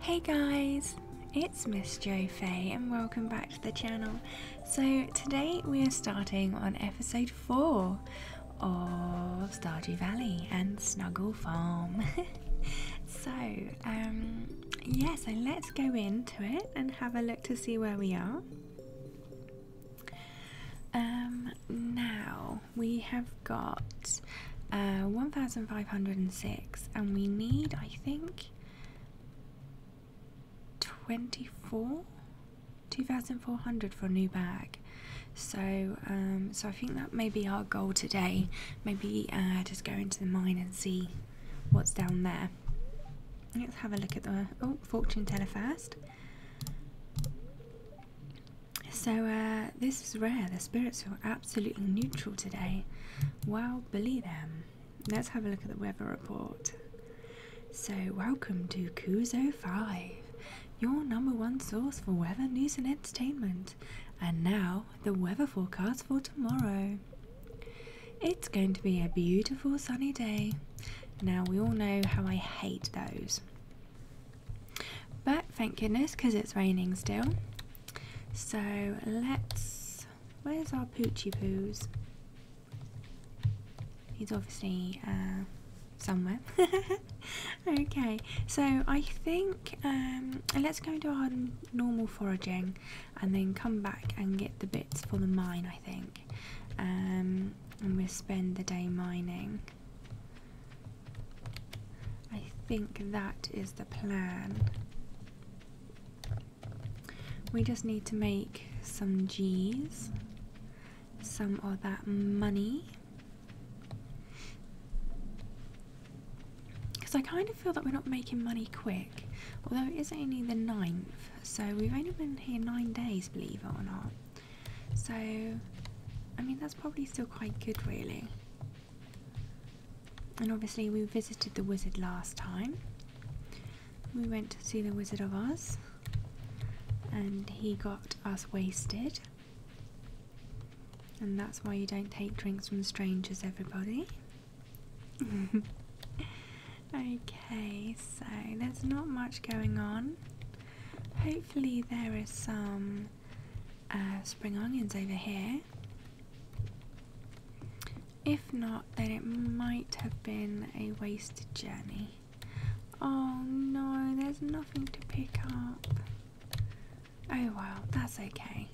Hey guys, it's Miss Jo Fay and welcome back to the channel. So today we are starting on episode 4 of Stardew Valley and Snuggle Farm. so um, yeah, so let's go into it and have a look to see where we are. Um, now we have got uh, 1506 and we need I think 24 2400 for a new bag so um, so I think that may be our goal today maybe uh, just go into the mine and see what's down there let's have a look at the oh fortune teller first so uh, this is rare. The spirits feel absolutely neutral today. Well, believe them. Let's have a look at the weather report. So welcome to Kuzo 5, your number one source for weather news and entertainment. And now the weather forecast for tomorrow. It's going to be a beautiful sunny day. Now we all know how I hate those. But thank goodness because it's raining still. So let's. Where's our Poochie Poos? He's obviously uh, somewhere. okay, so I think um, let's go do our normal foraging and then come back and get the bits for the mine, I think. Um, and we'll spend the day mining. I think that is the plan. We just need to make some G's, some of that money. Because I kind of feel that we're not making money quick, although it is only the ninth, so we've only been here 9 days, believe it or not. So, I mean, that's probably still quite good, really. And obviously, we visited the wizard last time. We went to see the Wizard of Oz, and he got us wasted. And that's why you don't take drinks from strangers, everybody. okay, so there's not much going on. Hopefully, there is some uh, spring onions over here. If not, then it might have been a wasted journey. Oh no, there's nothing to pick up. Oh well, that's okay.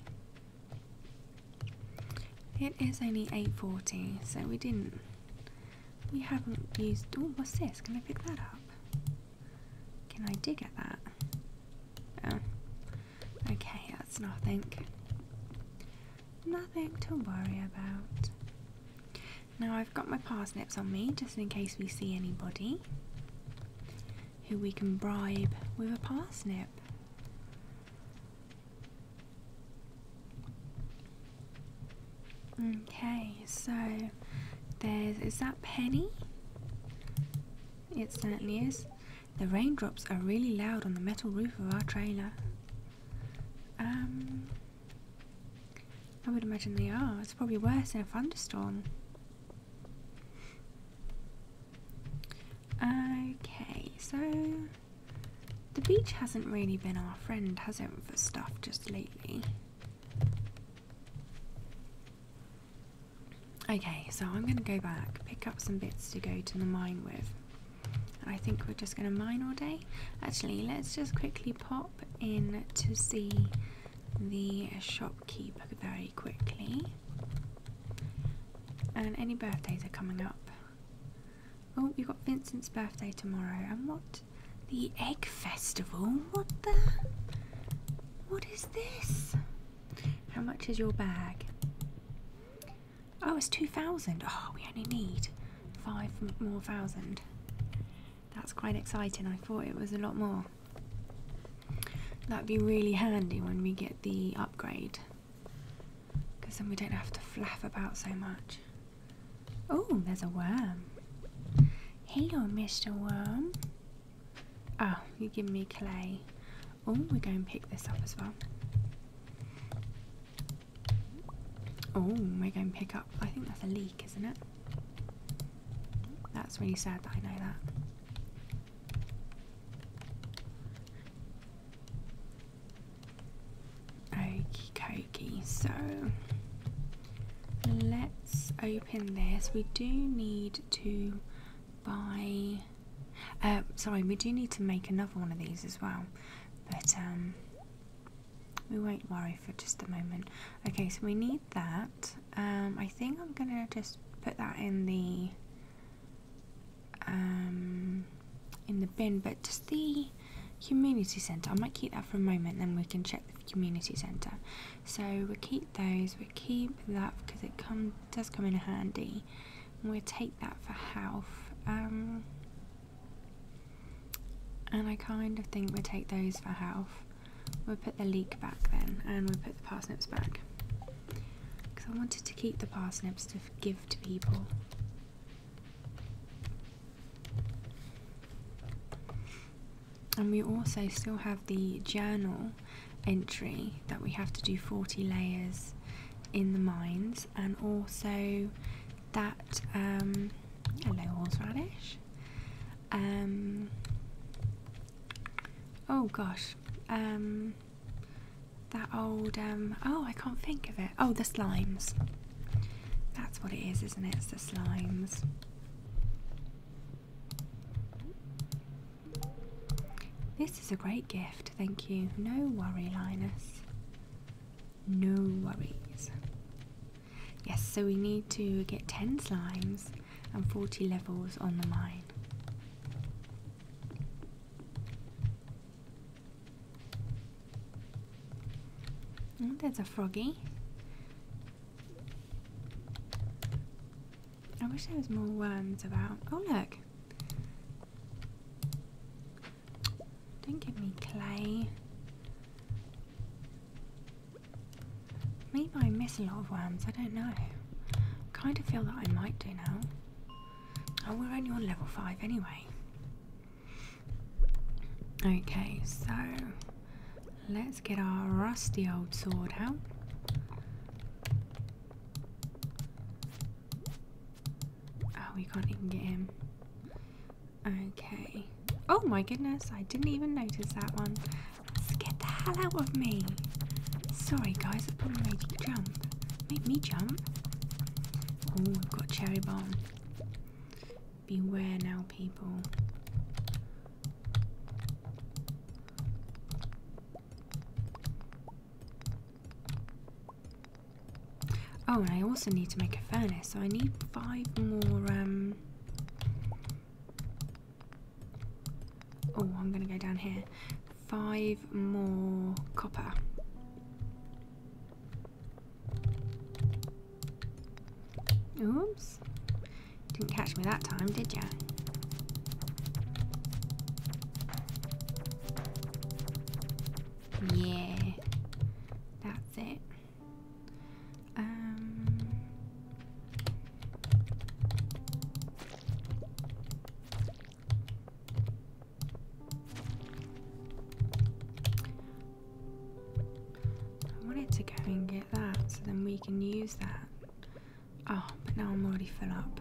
It is only 8.40, so we didn't, we haven't used, oh, what's this? Can I pick that up? Can I dig at that? Oh. Okay, that's nothing. Nothing to worry about. Now I've got my parsnips on me just in case we see anybody who we can bribe with a parsnip. Okay, so there's is that Penny? It certainly is. The raindrops are really loud on the metal roof of our trailer. Um, I would imagine they are. It's probably worse in a thunderstorm. Okay, so the beach hasn't really been our friend, has it, for stuff just lately? Okay, so I'm going to go back, pick up some bits to go to the mine with. I think we're just going to mine all day. Actually, let's just quickly pop in to see the shopkeeper very quickly. And any birthdays are coming up. Oh, we've got Vincent's birthday tomorrow. And what? The egg festival? What the? What is this? How much is your bag? Oh, it's 2,000. Oh, ah, we only need five more thousand. That's quite exciting. I thought it was a lot more. That'd be really handy when we get the upgrade. Because then we don't have to flaff about so much. Oh, there's a worm. Hello, Mr. Worm. Oh, you giving me clay. Oh, we're going to pick this up as well. Oh, we're going to pick up. I think that's a leak, isn't it? That's really sad that I know that. Okie dokie, so let's open this. We do need to by. Uh, sorry, we do need to make another one of these as well, but um, we won't worry for just a moment. Okay, so we need that. Um, I think I'm gonna just put that in the um, in the bin, but just the community centre. I might keep that for a moment, then we can check the community centre. So we keep those, we keep that because it come, does come in handy. we take that for health. Um, and I kind of think we take those for health. we put the leek back then, and we put the parsnips back. Because I wanted to keep the parsnips to give to people and we also still have the journal entry that we have to do 40 layers in the mines and also that hello um, horseradish um, oh gosh um, that old oh I can't think of it oh the slimes that's what it is isn't it it's the slimes this is a great gift, thank you. No worry, Linus. No worries. Yes, so we need to get 10 slimes and 40 levels on the mine. Oh, there's a froggy. I wish there was more worms about. Oh look! Don't give me clay. Maybe I miss a lot of worms, I don't know. kind of feel that I might do now. Oh, we're only on level 5 anyway. Okay, so Let's get our rusty old sword out. Oh, we can't even get him. Okay. Oh my goodness, I didn't even notice that one. get the hell out of me. Sorry guys, I probably made you jump. Made me jump. Oh, we've got cherry bomb. Beware now, people. Oh, and I also need to make a furnace, so I need five more, um... Oh, I'm gonna go down here. Five more copper. Oops. Didn't catch me that time, did ya? Yeah, that's it. Um, I wanted to go and get that so then we can use that. Oh, but now I'm already full up.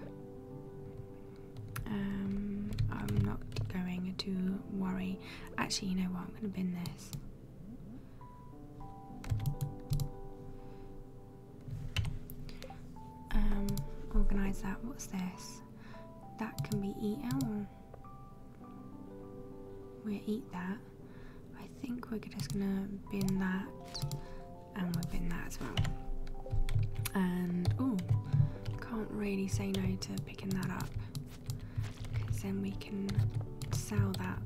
Um, I'm not going to worry. Actually, you know what? I'm going to bin this. Um, organise that. What's this? That can be eaten. we eat that. I think we're just gonna bin that and we'll bin that as well. And oh, can't really say no to picking that up because then we can sell that.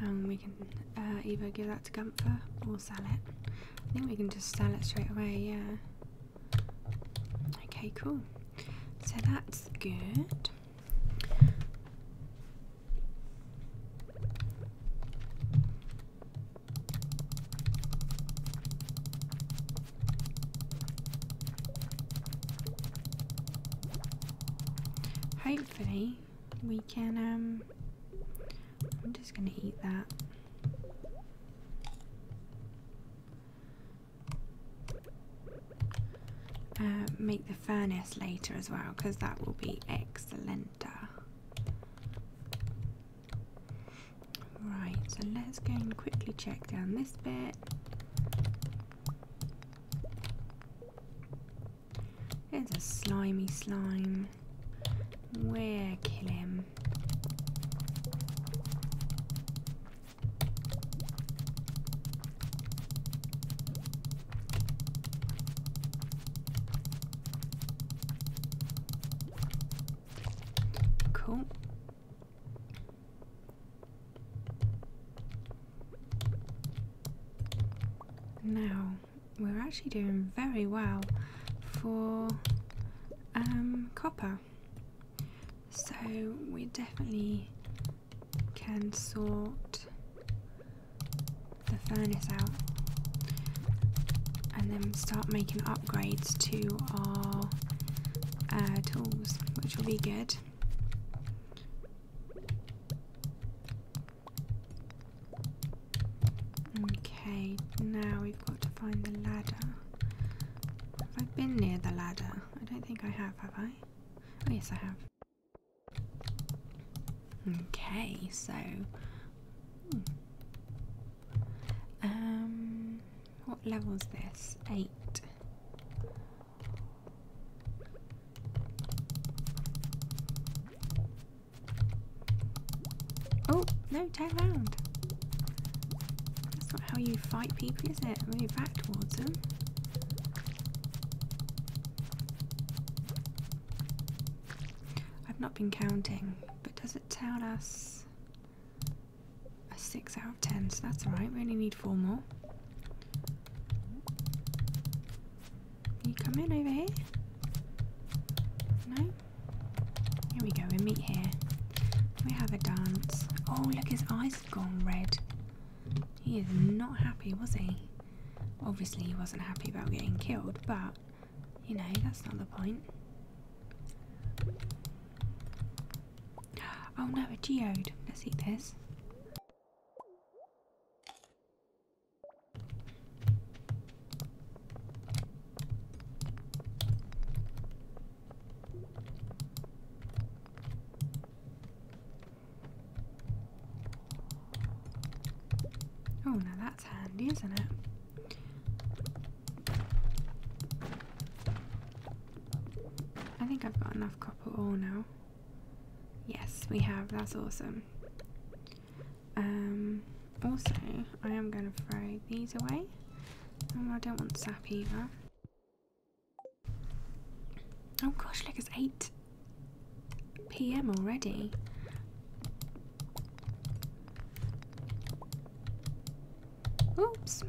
And we can uh, either give that to Gunther or sell it. I think we can just sell it straight away, yeah. Okay, cool. So that's good. Hopefully we can um I'm just gonna eat that. Uh, make the furnace later as well because that will be excellent. Right, so let's go and quickly check down this bit. It's a slimy slime. We're killing Cool. Now we're actually doing very well for um, copper. So we definitely can sort the furnace out and then start making upgrades to our uh, tools, which will be good. Okay, now we've got to find the ladder. Have I been near the ladder? I don't think I have, have I? Oh, yes, I have. Okay, so. Hmm. Um, what level is this? Eight. Oh, no, turn round. That's not how you fight people, is it? Move back towards them. I've not been counting, but does it tell us a 6 out of 10? So that's alright, we only need 4 more. you come in over here? No? Here we go, we meet here. We have a dance. Oh, look, his eyes have gone red. He is not happy, was he? Obviously, he wasn't happy about getting killed, but you know, that's not the point. Oh no, a geode. Let's eat this. Oh, now that's handy, isn't it? I think I've got enough copper ore now. Yes, we have. That's awesome. Um, also, I am going to throw these away. I don't want sap either. Oh gosh, look, it's 8 p.m. already. Oops.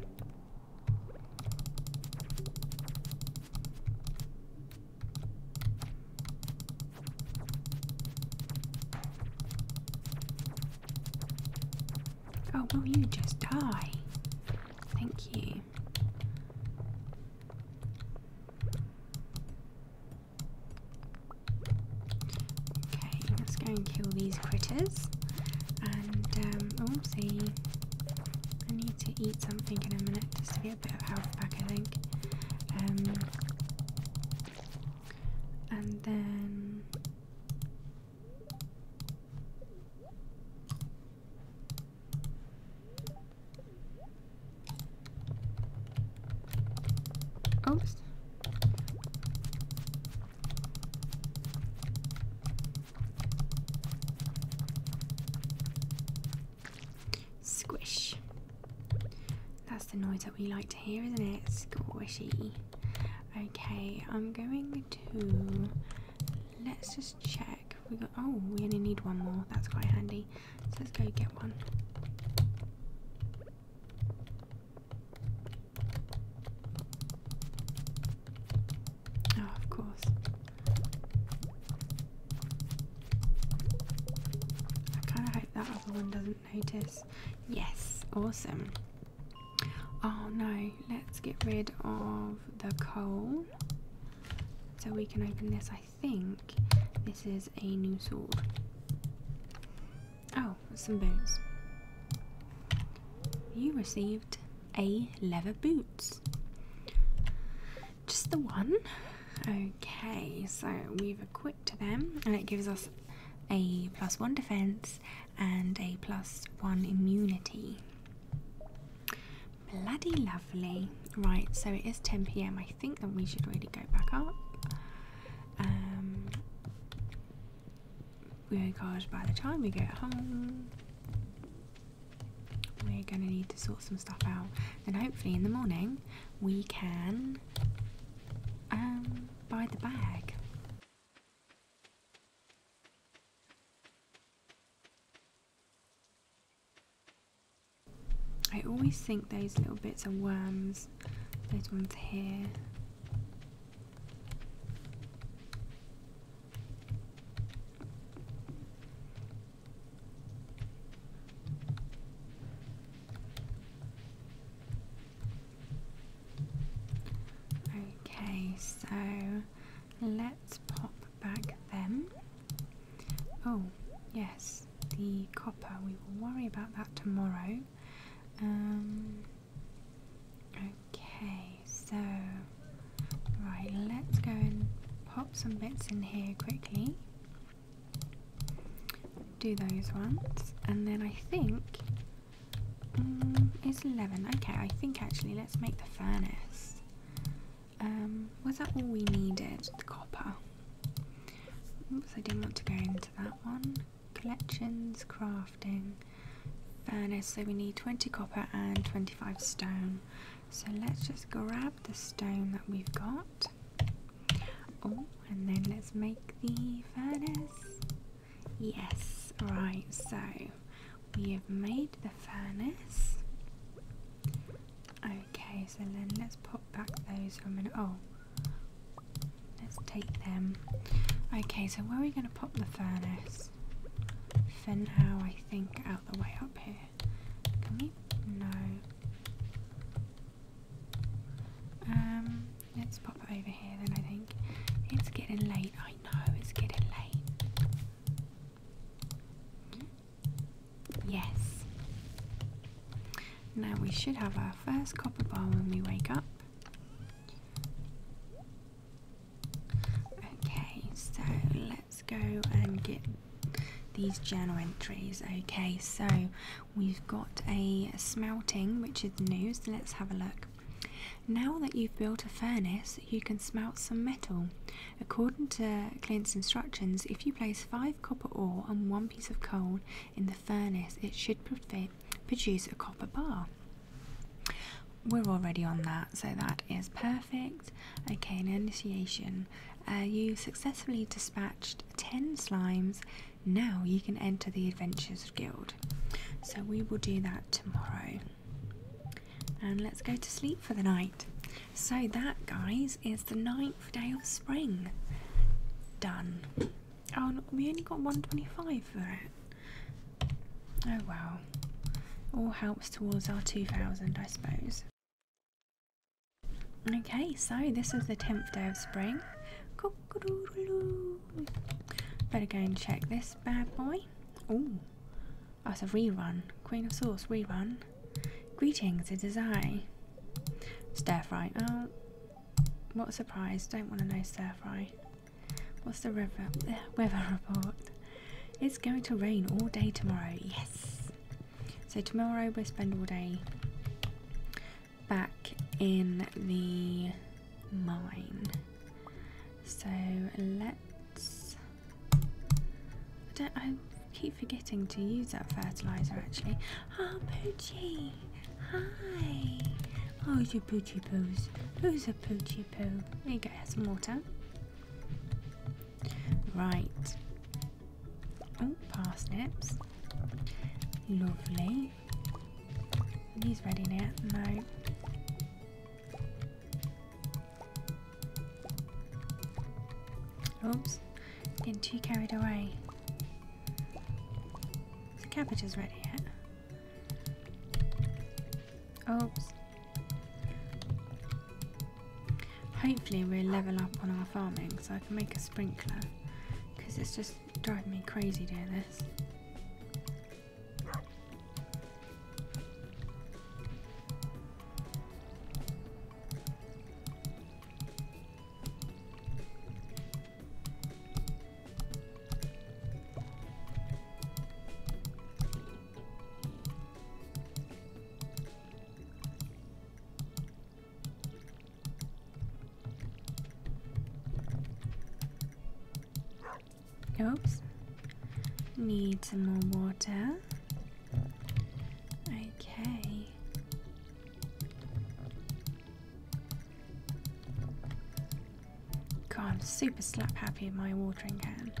Oh, will you just die? Thank you. Okay, let's go and kill these critters. And, um, oh, see, I need to eat something in a minute just to get a bit of health back, I think. Um, and then Oops. Squish. That's the noise that we like to hear, isn't it? Squishy. Okay, I'm going to let's just check. We got oh, we only need one more. That's quite handy. let's go get one. Oh, of course. I kind of hope that other one doesn't notice. Yes, awesome. Oh no, let's get rid of the coal so we can open this. I think this is a new sword. Oh, some boots. You received a leather boots. Just the one? Okay, so we've equipped them and it gives us a plus one defense, and a plus one immunity. Bloody lovely. Right, so it is 10 pm. I think that we should really go back up. Um, because by the time we get home, we're going to need to sort some stuff out. And hopefully, in the morning, we can um, buy the bag. I always think those little bits are worms, those ones here. Okay, so let's pop back then. Oh, yes, the copper. We will worry about that tomorrow. Um, okay, so right, let's go and pop some bits in here quickly. Do those ones, and then I think it's 11. Okay, I think actually let's make the furnace. Um, was that all we needed? The copper. Oops, I didn't want to go into that one. Collections, crafting, furnace. So we need 20 copper and 25 stone. So let's just grab the stone that we've got. Oh, and then let's make the furnace. Yes, right, so we have made the furnace. Okay, so then let's pop back those for a minute. Oh, let's take them. Okay, so where are we going to pop the furnace? For now, I think out the way up here. Can we? No. Um, let's pop it over here then I think. It's getting late, I know it's getting late. Yes. Now we should have our first copper bar when we wake up. Okay, so let's go and get these journal entries. Okay, so We've got a smelting, which is new, so let's have a look. Now that you've built a furnace, you can smelt some metal. According to Clint's instructions, if you place 5 copper ore and 1 piece of coal in the furnace, it should produce a copper bar. We're already on that, so that is perfect. Okay, an initiation. Uh, you successfully dispatched 10 slimes now you can enter the Adventures Guild. So we will do that tomorrow. And let's go to sleep for the night. So, that, guys, is the ninth day of spring. Done. Oh, we only got 125 for it. Oh well. All helps towards our 2000, I suppose. Okay, so this is the 10th day of spring. Cool. Better go and check this bad boy. Oh, that's a rerun. Queen of Swords rerun. Greetings, it is I. Stir fry. Oh, what a surprise. Don't want to know stir fry. What's the weather report? It's going to rain all day tomorrow. Yes. So tomorrow we'll spend all day back in the mine. So let's. I keep forgetting to use that fertilizer actually. Ah, oh, Poochie! Hi! Oh, it's a Poochie Poos. Who's a Poochie Poo? There you go, have some water. Right. Oh, parsnips. Lovely ready? He's ready now. No. Oops. Getting too carried away. The cabbage is ready yet. Oops. Hopefully we'll level up on our farming so I can make a sprinkler. Because it's just Driving me crazy doing this. Oops. Need some more water. Okay. God, I'm super slap happy with my watering can.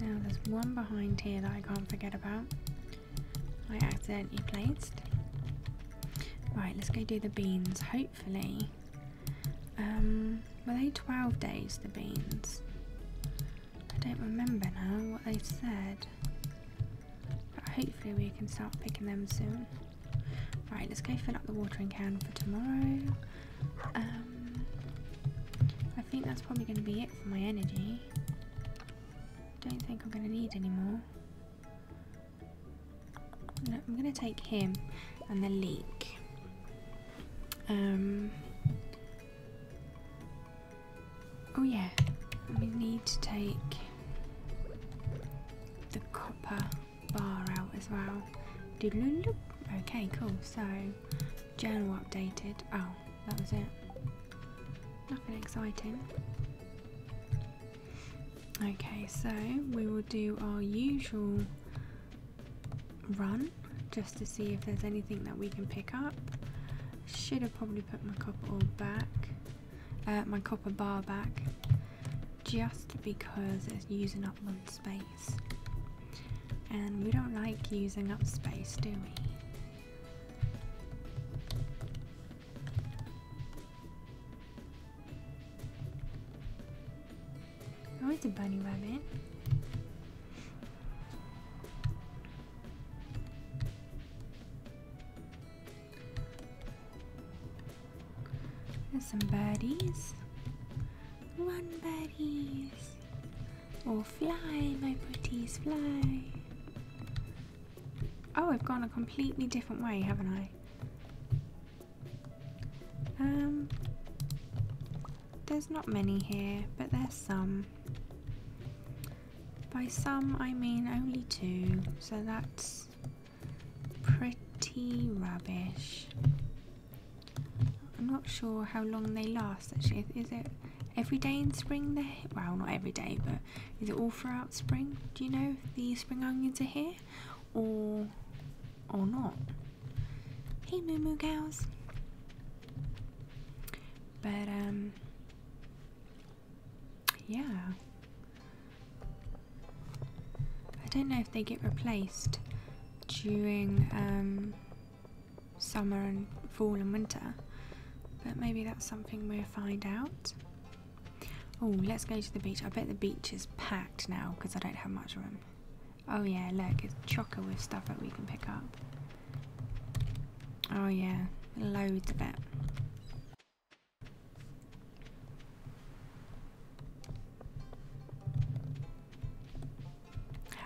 Now there's one behind here that I can't forget about. I accidentally placed. Right, let's go do the beans, hopefully. Um, were they 12 days, the beans? I don't remember now what they said. But hopefully we can start picking them soon. Right, let's go fill up the watering can for tomorrow. Um, I think that's probably going to be it for my energy don't think I'm going to need any more. I'm going to take him and the leek. Um, oh yeah, we need to take the copper bar out as well. Okay, cool. So, journal updated. Oh, that was it. Nothing exciting. Okay, so we will do our usual run just to see if there's anything that we can pick up. Should have probably put my copper back, uh, my copper bar back, just because it's using up loads space. And we don't like using up space, do we? Oh, it's a bunny rabbit. There's some birdies. one birdies. Oh, fly, my pretties, fly. Oh, I've gone a completely different way, haven't I? Um, there's not many here, but there's some. By some, I mean only two, so that's pretty rubbish. I'm not sure how long they last actually. Is it every day in spring they Well, not every day, but is it all throughout spring? Do you know if the spring onions are here or or not? Hey, moo moo cows. But um, yeah. I don't know if they get replaced during um summer and fall and winter. But maybe that's something we'll find out. Oh, let's go to the beach. I bet the beach is packed now because I don't have much room. Oh yeah, look, it's chocker with stuff that we can pick up. Oh yeah, loads of it.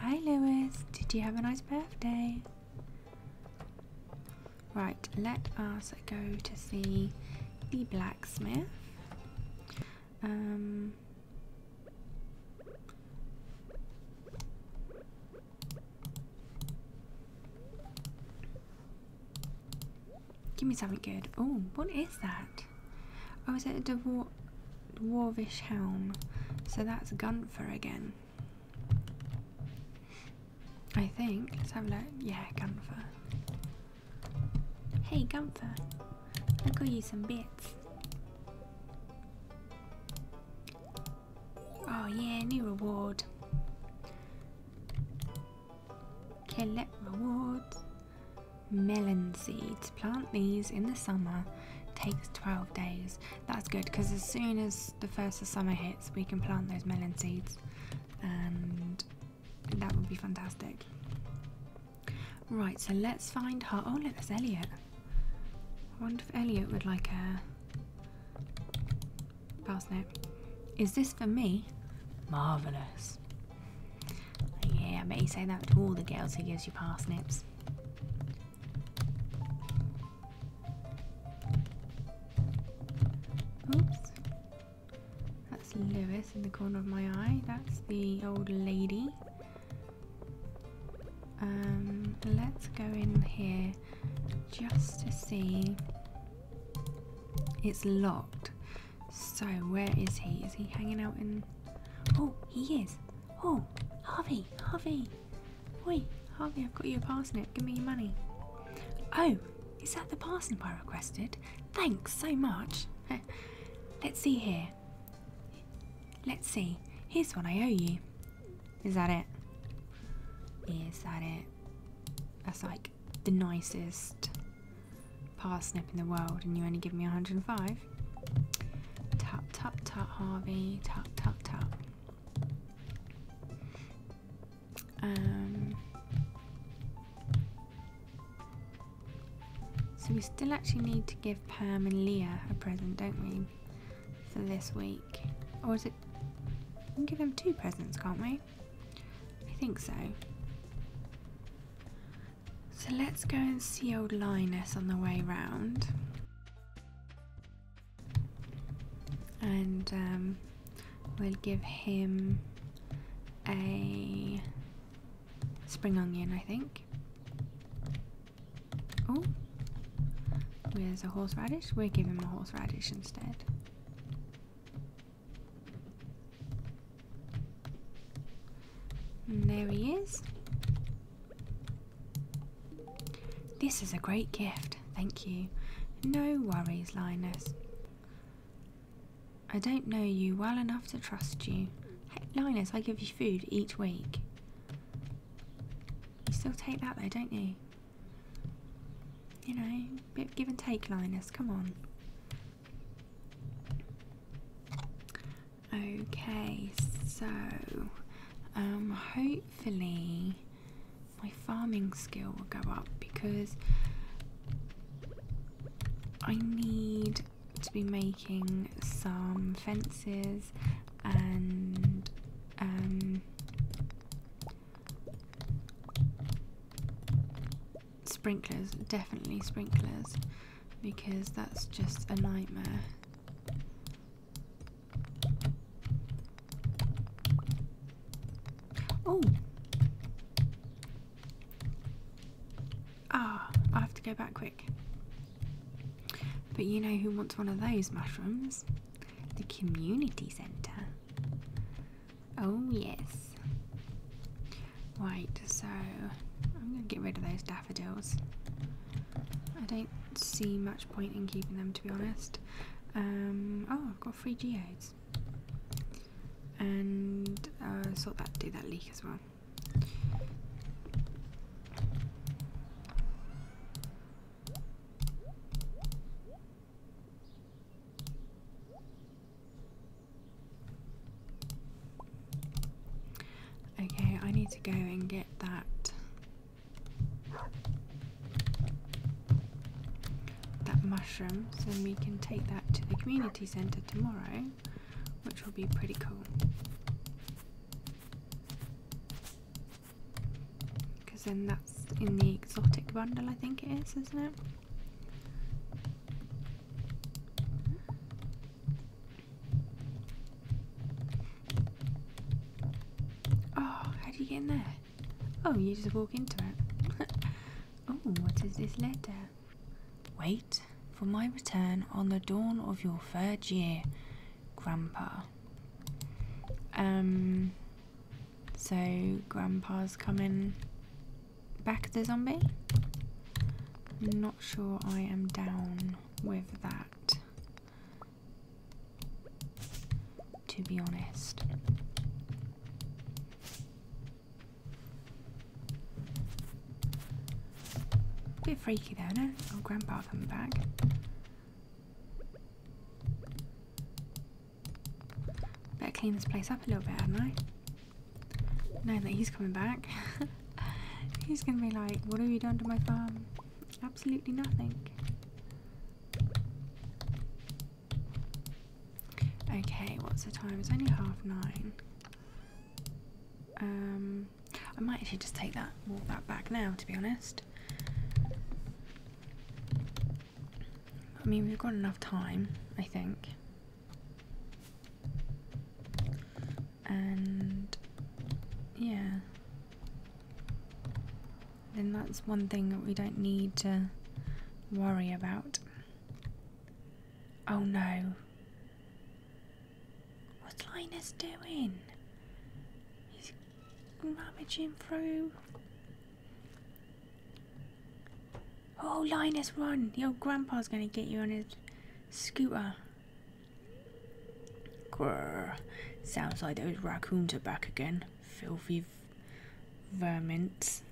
Hi Lewis, did you have a nice birthday? Right, let us go to see the blacksmith. Um, give me something good. Oh, what is that? Oh, is it a dwar dwarvish helm? So that's Gunther again. I think. Let's have a look. Yeah, Gunther. Hey, Gunther. I got you some bits. Oh yeah, new reward. Collect rewards. Melon seeds. Plant these in the summer. Takes 12 days. That's good because as soon as the first of summer hits, we can plant those melon seeds, and that would be fantastic. Right, so let's find her. Oh, look, there's Elliot. I wonder if Elliot would like a parsnip. Is this for me? Marvellous. Yeah, I bet say that to all the girls who gives you parsnips. Oops. That's Lewis in the corner of my eye. That's the old lady. Um, let's go in here just to see. It's locked. So, where is he? Is he hanging out in... Oh, he is. Oh, Harvey, Harvey. Oi, Harvey, I've got your parsnip. Give me your money. Oh, is that the parsnip I requested? Thanks so much. Let's see here. Let's see. Here's what I owe you. Is that it? Is that it? That's like the nicest parsnip in the world, and you only give me 105? Tap, tap, tap, Harvey. Tap, tap, tap. Um, so we still actually need to give Pam and Leah a present, don't we? For this week. Or is it... We can give them two presents, can't we? I think so. So let's go and see old Linus on the way round and um, we'll give him a spring onion, I think. Oh, there's a horseradish. We'll give him a horseradish instead. there he is. This is a great gift, thank you. No worries, Linus. I don't know you well enough to trust you. Hey, Linus, I give you food each week. You still take that though, don't you? You know, bit give and take, Linus, come on. Okay, so um hopefully my farming skill will go up because I need to be making some fences and um, sprinklers, definitely sprinklers, because that's just a nightmare. Oh. Ah, I have to go back quick. But you know who wants one of those mushrooms? The community centre. Oh, yes. Right, so I'm going to get rid of those daffodils. I don't see much point in keeping them to be honest. Um, oh, I've got three geodes. And uh, sort that, do that leak as well. Okay, I need to go and get that that mushroom so we can take that to the community centre tomorrow, which will be pretty cool. Because then that's in the exotic bundle, I think it is, isn't it? Oh, how do you get in there? Oh, you just walk into it. oh, what is this letter? Wait for my return on the dawn of your third year, Grandpa. Um, so Grandpa's coming back the zombie? Not sure I am down with that to be honest. Bit freaky though, no? Oh, Grandpa coming back. Better clean this place up a little bit, have not I? Knowing that he's coming back. he's gonna be like, what have you done to my farm? Absolutely nothing. Okay, what's the time? It's only half nine. Um, I might actually just take that, walk that back now, to be honest. I mean, we've got enough time, I think. And yeah, then that's one thing that we don't need to worry about. Oh no. What's Linus doing? He's rummaging through. Oh, Linus, run! Your grandpa's gonna get you on his scooter. Grrr. Sounds like those raccoons are back again. Filthy vermints.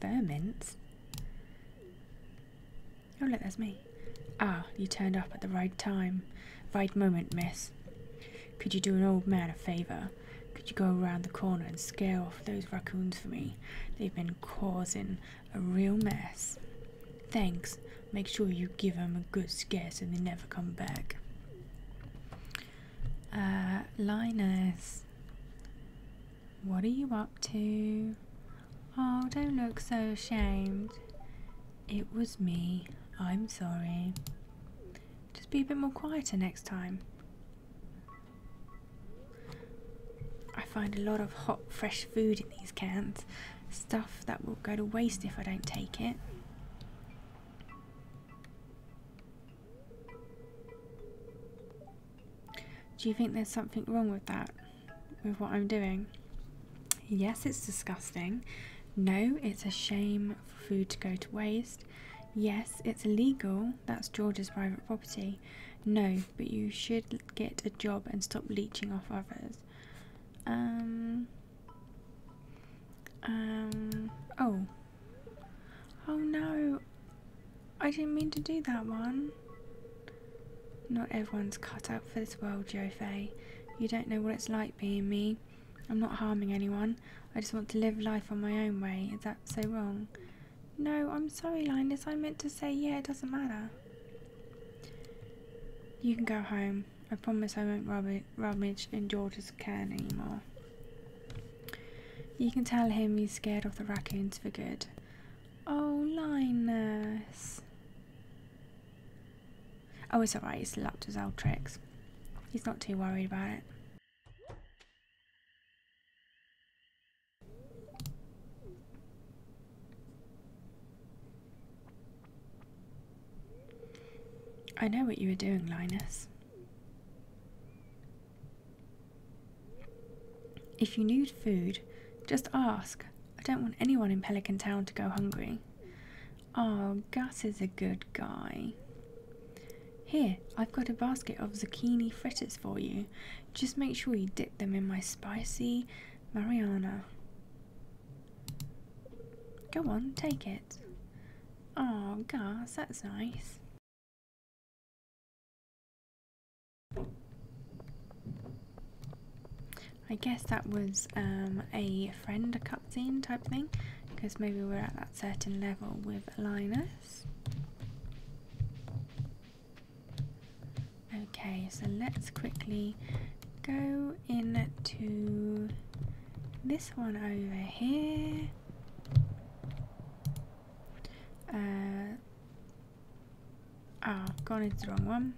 Vermints? Oh, look, that's me. Ah, you turned up at the right time. Right moment, miss. Could you do an old man a favour? Could you go around the corner and scare off those raccoons for me? They've been causing a real mess. Thanks. Make sure you give them a good scare so they never come back. Uh, Linus, what are you up to? Oh, don't look so ashamed. It was me. I'm sorry. Just be a bit more quieter next time. I find a lot of hot, fresh food in these cans. Stuff that will go to waste if I don't take it. Do you think there's something wrong with that? With what I'm doing? Yes, it's disgusting. No, it's a shame for food to go to waste. Yes, it's illegal. That's George's private property. No, but you should get a job and stop leeching off others. Um. Um, oh. Oh no! I didn't mean to do that one. Not everyone's cut out for this world, Jofei. You don't know what it's like being me. I'm not harming anyone. I just want to live life on my own way. Is that so wrong? No, I'm sorry, Linus. I meant to say, yeah, it doesn't matter. You can go home. I promise I won't rummage, in George's can anymore. You can tell him he's scared off the raccoons for good. Oh, Linus. Oh, it's alright, he's lapped his old tricks. He's not too worried about it. I know what you were doing, Linus. If you need food, just ask. I don't want anyone in Pelican Town to go hungry. Oh, Gus is a good guy. Here, I've got a basket of zucchini fritters for you. Just make sure you dip them in my spicy Mariana. Go on, take it. Oh, gosh, that's nice. I guess that was um, a friend, a cutscene type thing, because maybe we're at that certain level with Linus. Okay, so let's quickly go into this one over here. oh, uh, I've ah, gone into the wrong one.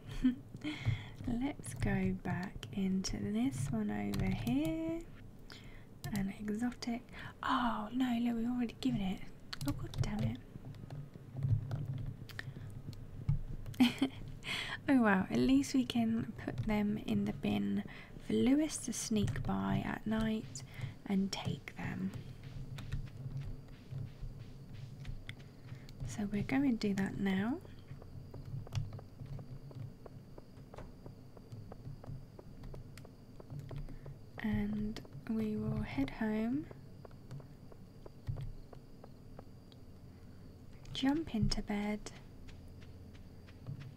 Let's go back into this one over here. An exotic. Oh no, look, we've already given it. Oh god damn it. Oh well, at least we can put them in the bin for Lewis to sneak by at night and take them. So we're going to do that now. And we will head home jump into bed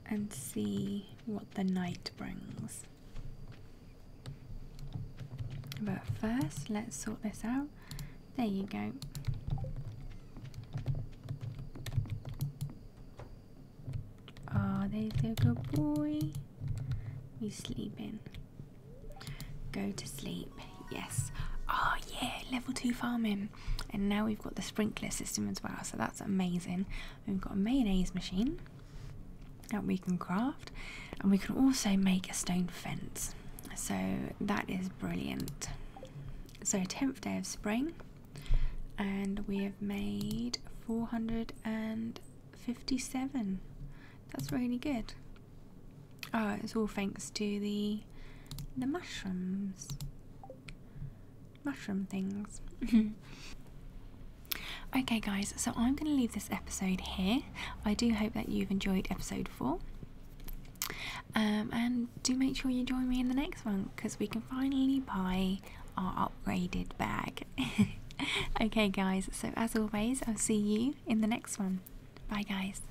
and see what the night brings. But first, let's sort this out. There you go. Oh, there's a good boy. You sleeping. Go to sleep. Yes. Oh yeah, level two farming. And now we've got the sprinkler system as well, so that's amazing. We've got a mayonnaise machine that we can craft, and we can also make a stone fence. So that is brilliant. So 10th day of spring, and we have made 457. That's really good. Oh, it's all thanks to the the mushrooms. Mushroom things. okay, guys, so I'm going to leave this episode here. I do hope that you've enjoyed episode four. Um, and do make sure you join me in the next one because we can finally buy our upgraded bag. okay, guys, so as always, I'll see you in the next one. Bye, guys.